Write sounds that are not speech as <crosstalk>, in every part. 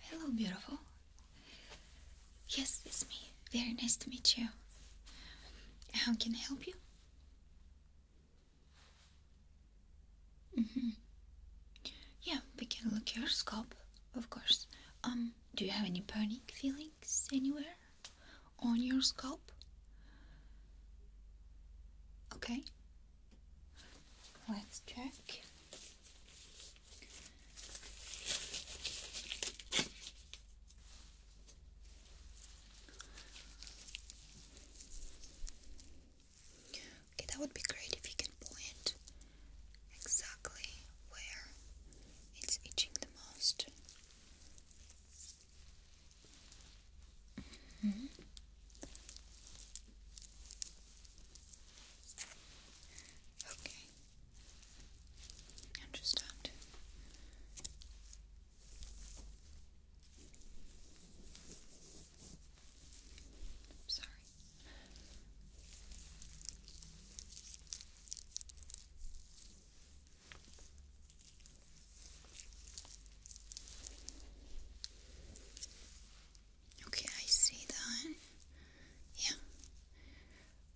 Hello, beautiful. Yes, it's me. Very nice to meet you. How can I help you? Mm-hmm. Yeah, we can look your scalp, of course. Um, do you have any burning feelings anywhere on your scalp? Okay, Let's check. Okay, that would be great if you can point exactly where it's itching the most. Mm -hmm. Okay. Understand. sorry. Okay, I see that. Yeah.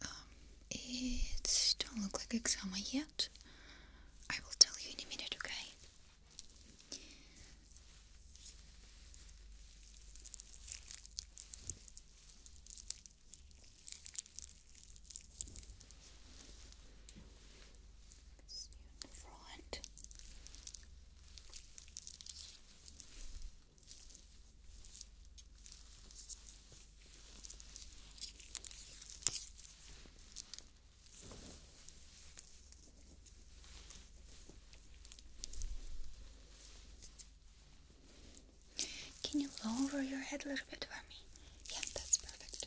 Um, it don't look like eczema yet. I will tell you in a minute, okay? Let's see on the can you lower your head a little bit for me? Yeah, that's perfect.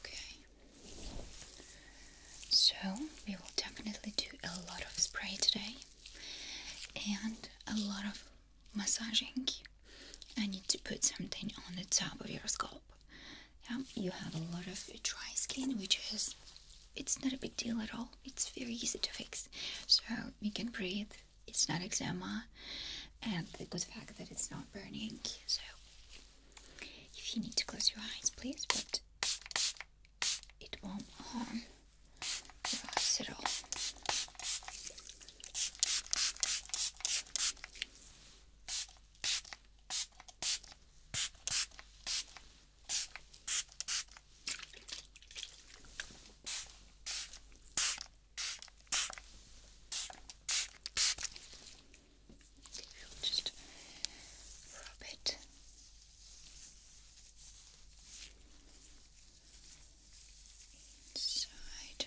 Okay. So, we will definitely do a lot of spray today and a lot of massaging. I need to put something on the top of your scalp. Yeah, you have a lot of dry skin, which is it's not a big deal at all. It's very easy to fix. So you can breathe. It's not eczema, and the good fact that it's not burning. So if you need to close your eyes, please, but it won't harm your eyes at all. We'll just rub it. Inside.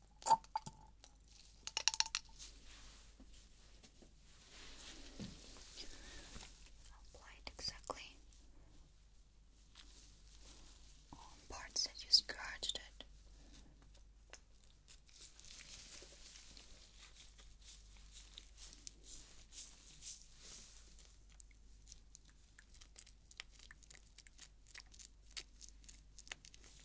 Apply exactly on parts that you scratched it.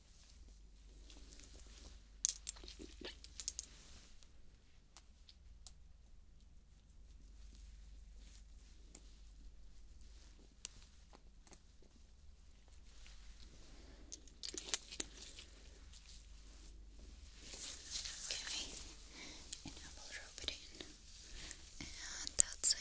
Okay, and I will rub it in, and that's it.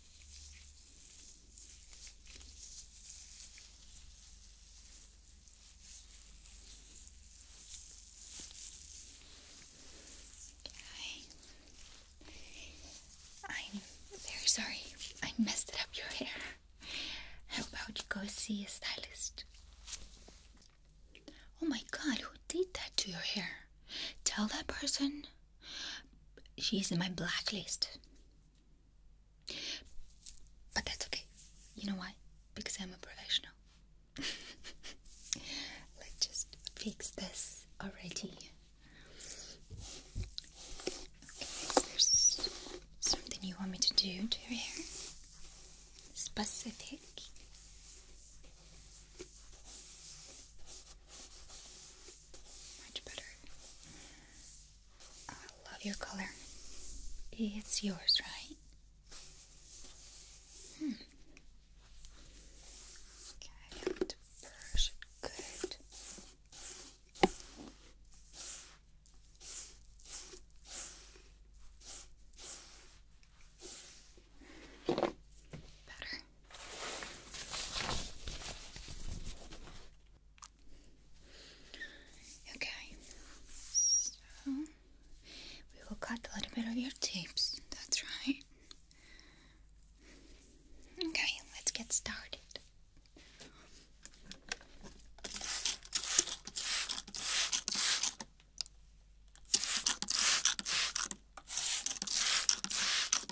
I'm very sorry I messed up your hair. How about you go see a stylist? Oh my god, who did that to your hair? Tell that person She's in my blacklist. But that's okay. You know why? Because I'm a professional. <laughs> Let's just fix this already. Okay, there's something you want me to do to your hair? Specific much better. I love your color. It's yours, right? Hmm. Okay, good. Better. Okay, so we will cut a little bit of your tapes. that's right. Okay, let's get started.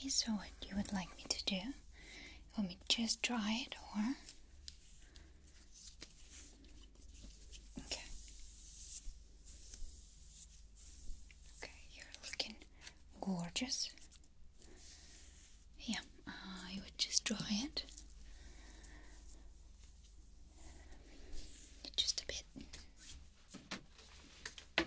Okay, so what you would like me to do? Let me just dry it or? Okay. Okay, you're looking gorgeous. Yeah, uh, I would just dry it. Just a bit.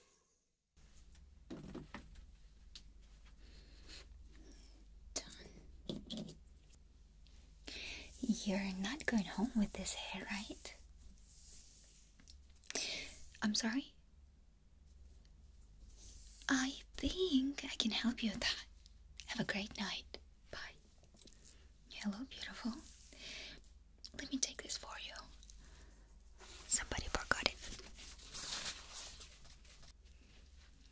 You're not going home with this hair, right? I'm sorry? I think I can help you with that. Have a great night. Bye. Hello, beautiful. Let me take this for you. Somebody forgot it.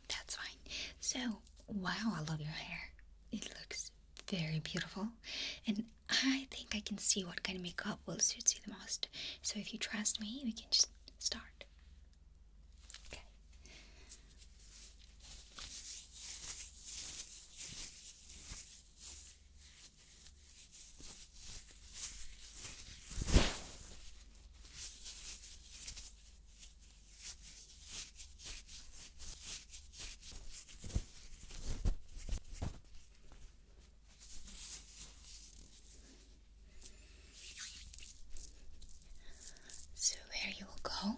That's fine. So, wow, I love your hair. It looks very beautiful. And I think I can see what kind of makeup will suit you the most. So, if you trust me, we can just start. Okay. So, where you will go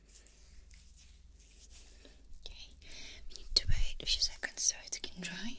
Okay, we need to wait a few seconds so it can dry.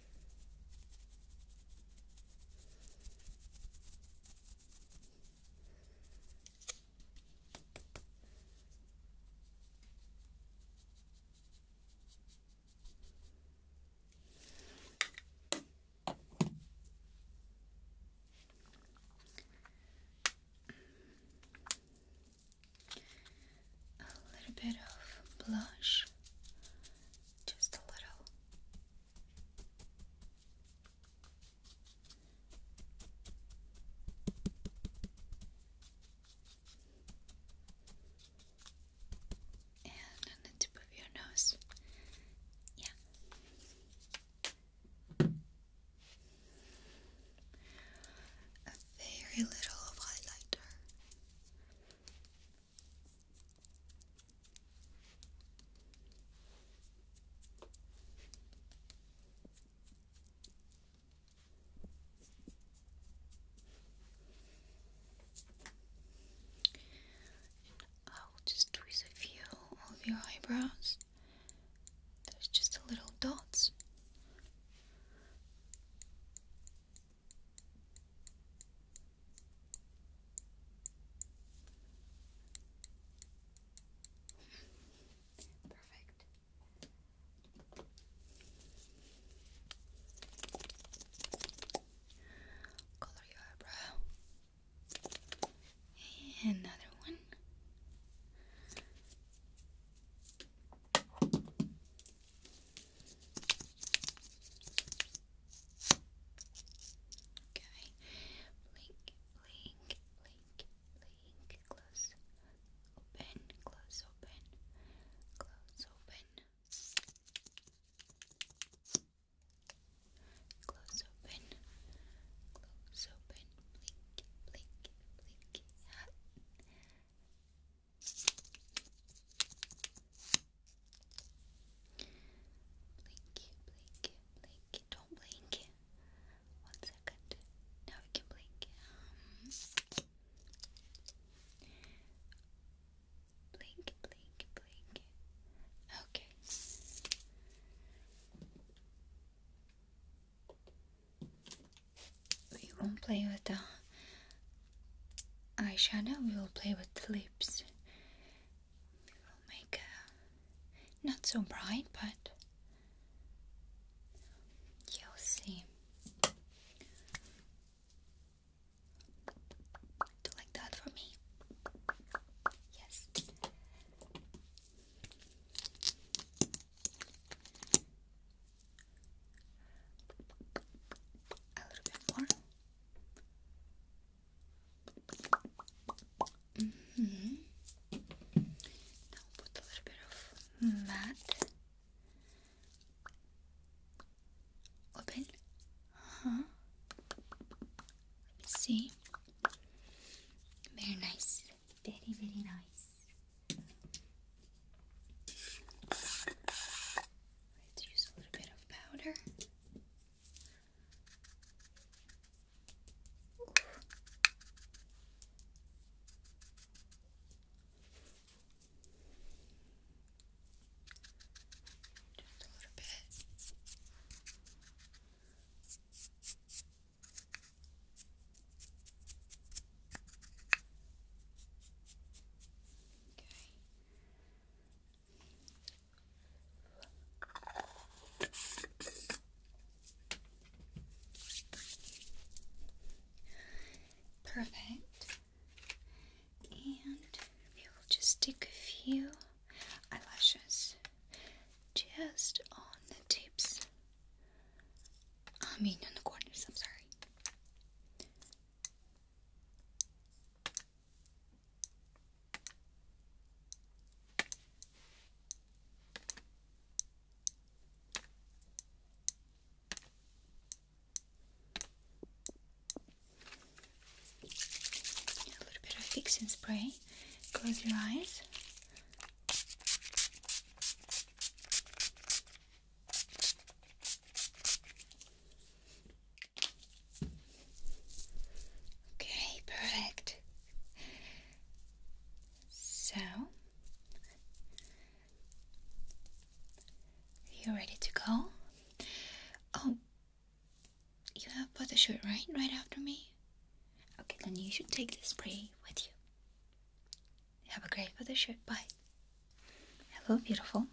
A little bit of blush, just a little. And on the tip of your nose. Yeah. A very little of highlighter. I'll just twist a few of your eyebrows. There's just a little dots. Perfect. Color your eyebrow. Another one. Okay. Blink, blink, blink, blink. Close, open, close, open, close, open. Close, open, close, open. Blink, blink, blink. Blink blink blink Don't blink One second. Now we can blink blink, blink, blink. Okay. We won't play with the eyeshadow, we will play with the lips. I'll make a not so bright, but you'll see. Do like that for me? Yes. A little bit more. Mm -hmm. put a little bit of that. Open. Let me see. Very nice. Very, very nice. Let's use a little bit of powder. Just a little bit. Okay. Perfect. And we will just stick a few eyelashes just on the tips. I mean, in the corners, I'm sorry. A little bit of fixing spray. Close your eyes. Okay, perfect. So, you ready to go? Oh, you have put the shirt right, right after me. Okay, then you should take this spray with you. Have a great photo shoot. Bye. Hello, beautiful.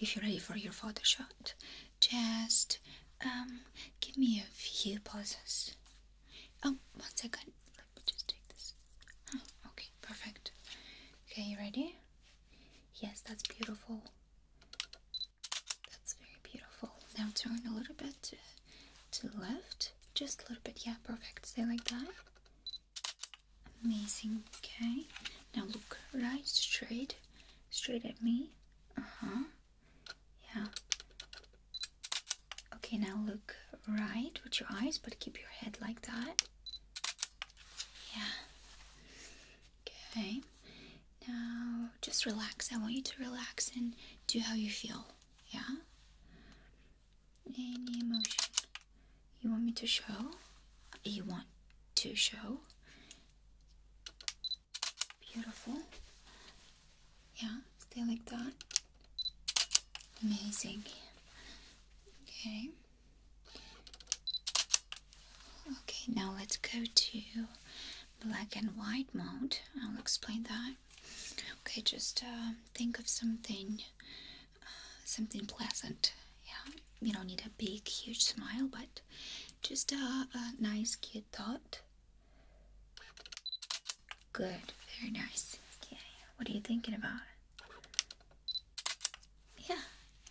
If you're ready for your photo shoot, just um, give me a few pauses. Oh, one second. Let me just take this. Oh, okay, perfect. Okay, you ready? Yes, that's beautiful. That's very beautiful. Now turn a little bit to, to the left. Just a little bit. Yeah, perfect. Stay like that. Amazing. Okay. Now look right straight straight at me. Uh-huh. Yeah. Okay, now look right with your eyes, but keep your head like that. Yeah. Okay. Now just relax. I want you to relax and do how you feel. Yeah? Any emotion you want me to show? You want to show? Beautiful. Yeah, stay like that. Amazing. Okay. Okay, now let's go to black and white mode. I'll explain that. Okay, just uh, think of something, uh, something pleasant. Yeah you don't need a big, huge smile, but just a, nice, cute thought. Good, very nice. Okay, what are you thinking about? Yeah,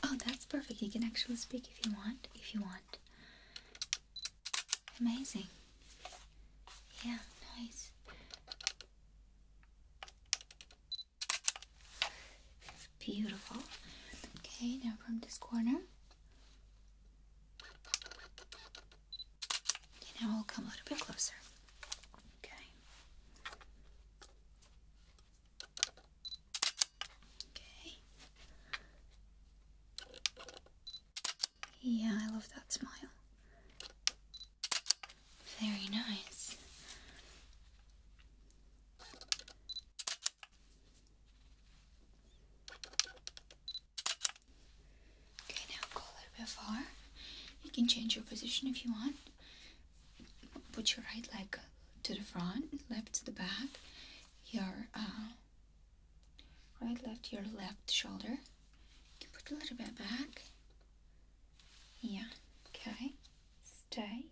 oh, that's perfect. You can actually speak if you want, if you want. Amazing. Yeah, nice. Beautiful. Okay, now from this corner. Okay, now we'll come a little bit closer. Okay. Okay. Yeah, I love that smile. Very nice. Okay, now go a little bit far. You can change your position if you want. Put your right leg to the front, left to the back. Your uh, right, left, your left shoulder. You can put a little bit back. Yeah, okay stay.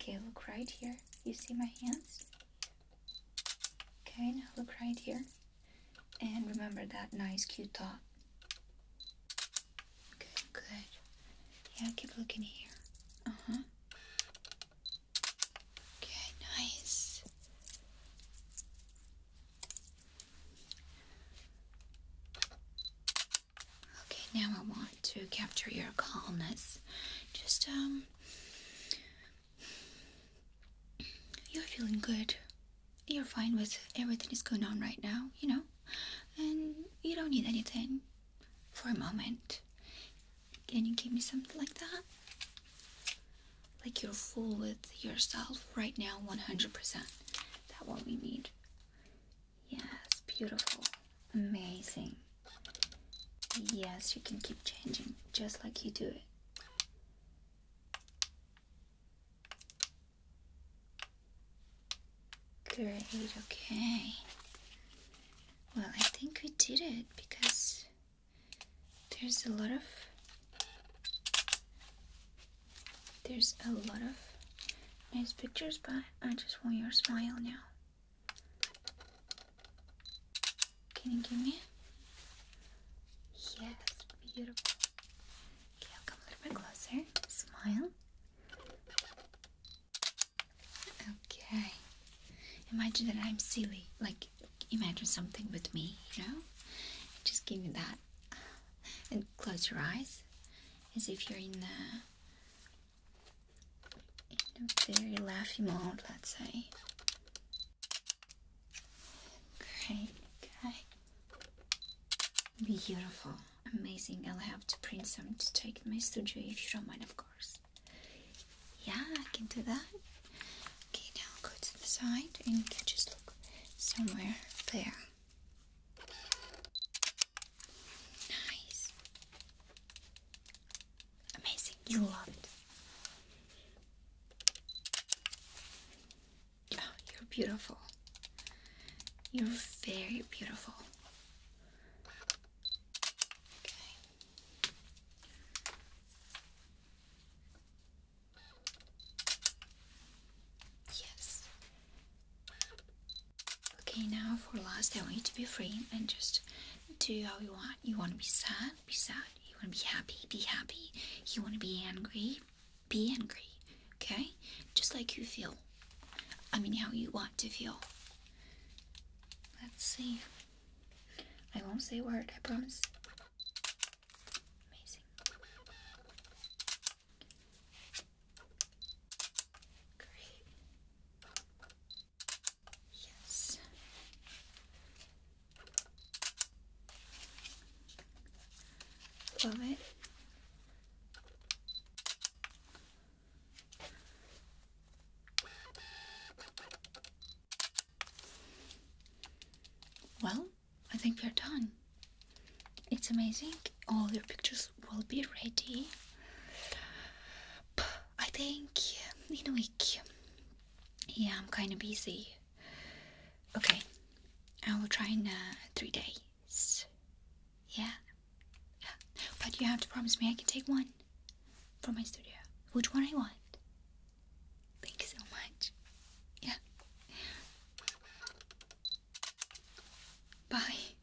Okay, look right here. You see my hands? Okay, now look right here. And remember that nice cute dot. Okay, good. Yeah, keep looking here. Uh-huh. Okay, nice. Okay, now I want to capture your calmness. Just, um, you're feeling good. You're fine with everything that's going on right now, you know? And you don't need anything for a moment. Can you give me something like that? Like you're full with yourself right now, 100%. That what we need. Yes, beautiful. Amazing. Yes, you can keep changing just like you do it. Great, okay. Well, I think we did it because there's a lot of there's a lot of nice pictures, but I just want your smile now. Can you give me? Yes, beautiful. Okay, i come a little bit closer. Smile. Okay. Imagine that I'm silly. Like, imagine something with me, you know? Just give me that. And close your eyes as if you're in a in a very laughy mode, let's say. Great, okay. Beautiful, amazing. I'll have to print some to take in my studio if you don't mind, of course. Yeah, I can do that. Okay, now go to the side and you can just look somewhere there. Nice. Amazing. You love it. Oh, you're beautiful. You're very beautiful. Okay. Yes. Okay, now for last, I want you to be free and just do how you want. You want to be sad, be sad. You want to be happy, be happy. You want to be angry, be angry. Okay? Just like you feel. I mean, how you want to feel. Let's see. I won't say a word, I promise. Amazing. Great. Yes. Love it. Well, I think we're done. It's amazing. All your pictures eggs will be ready. I think in a week. Yeah, I'm kind of busy. Okay, I will try in uh, three days. Yeah. yeah, but you have to promise me I can take one from my studio. Which one I want? Thank so much. Yeah. Bye.